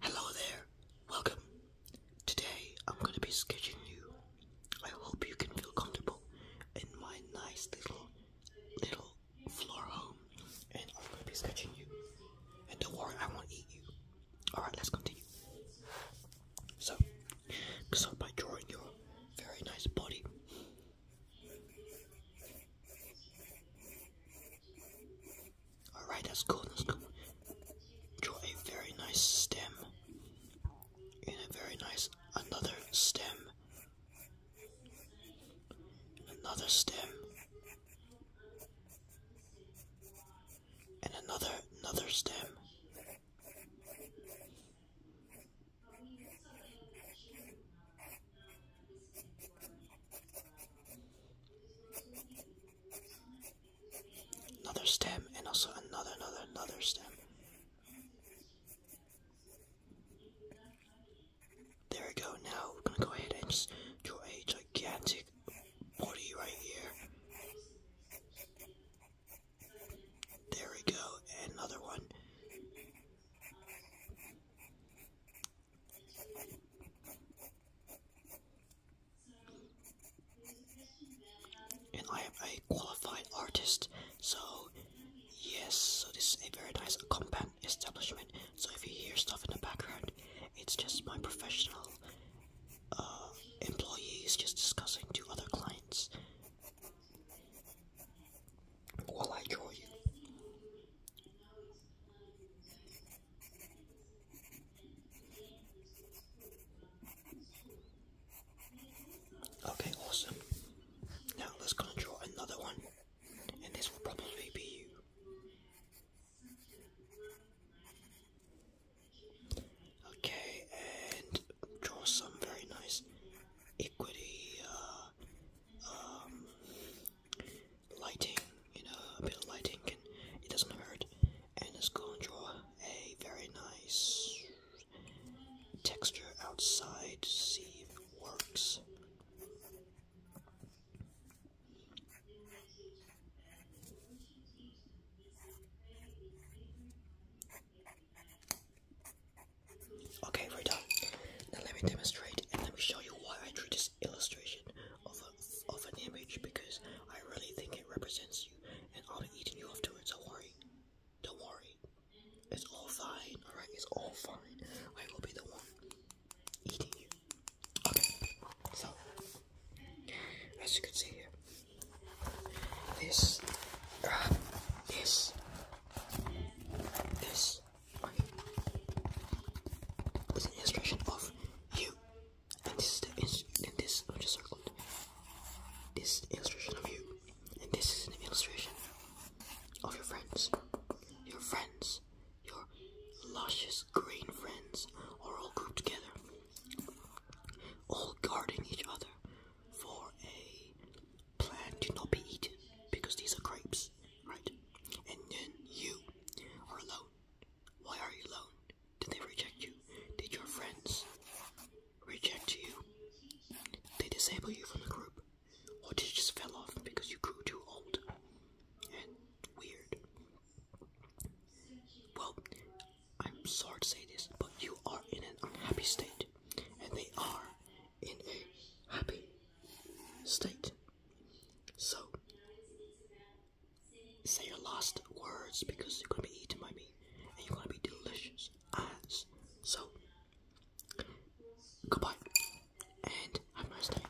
Hello there, welcome. Today I'm going to be sketching you. I hope you can feel comfortable in my nice little, little floor home. And I'm going to be sketching you. And don't worry, I won't eat you. Alright, let's continue. So, start by drawing your very nice body. Alright, that's cool, that's cool. Draw a very nice stem. And a very nice another stem. another stem. And another another stem. Another stem, and also another, another, another stem. There we go. Now we're gonna go ahead and just draw a gigantic body right here. There we go. another one. And I am a qualified artist, so yes, so this is a very nice compact establishment. So if you hear stuff in the background, it's just my professional uh, employees just discussing to other clients while I draw you. Okay, awesome. Now let's go and draw another one, and this will probably be you. Okay, and draw some very nice equity uh, um, lighting. You know, a bit of lighting can it doesn't hurt. And it's going to draw a very nice texture outside see if it works. Okay, we're done. Now let me demonstrate and let me show you why I drew this illustration of, of an image because I really think it represents you and I'll be eating you afterwards, don't worry. Don't worry. It's all fine, alright? It's all fine. I will be the one eating you. Okay, so, as you can see here, this, uh, this, this. Okay. an illustration of you, and this is the and this I just circled. This illustration of you, and this is an illustration of your friends. Your friends, your luscious green friends, are all grouped together all guarding each other for a plan to not be eaten because these are grapes, right? And then you are alone. Why are you alone? Did they reject you? Did your friends reject you? They disable you from the group? Or did you just fell off because you grew too old and weird? Well, I'm sorry to say this, but you are in an unhappy state, and they are in a happy state. So, say your last words because you're going to be eaten by me, and you're going to be delicious as. So, goodbye, and have a nice day.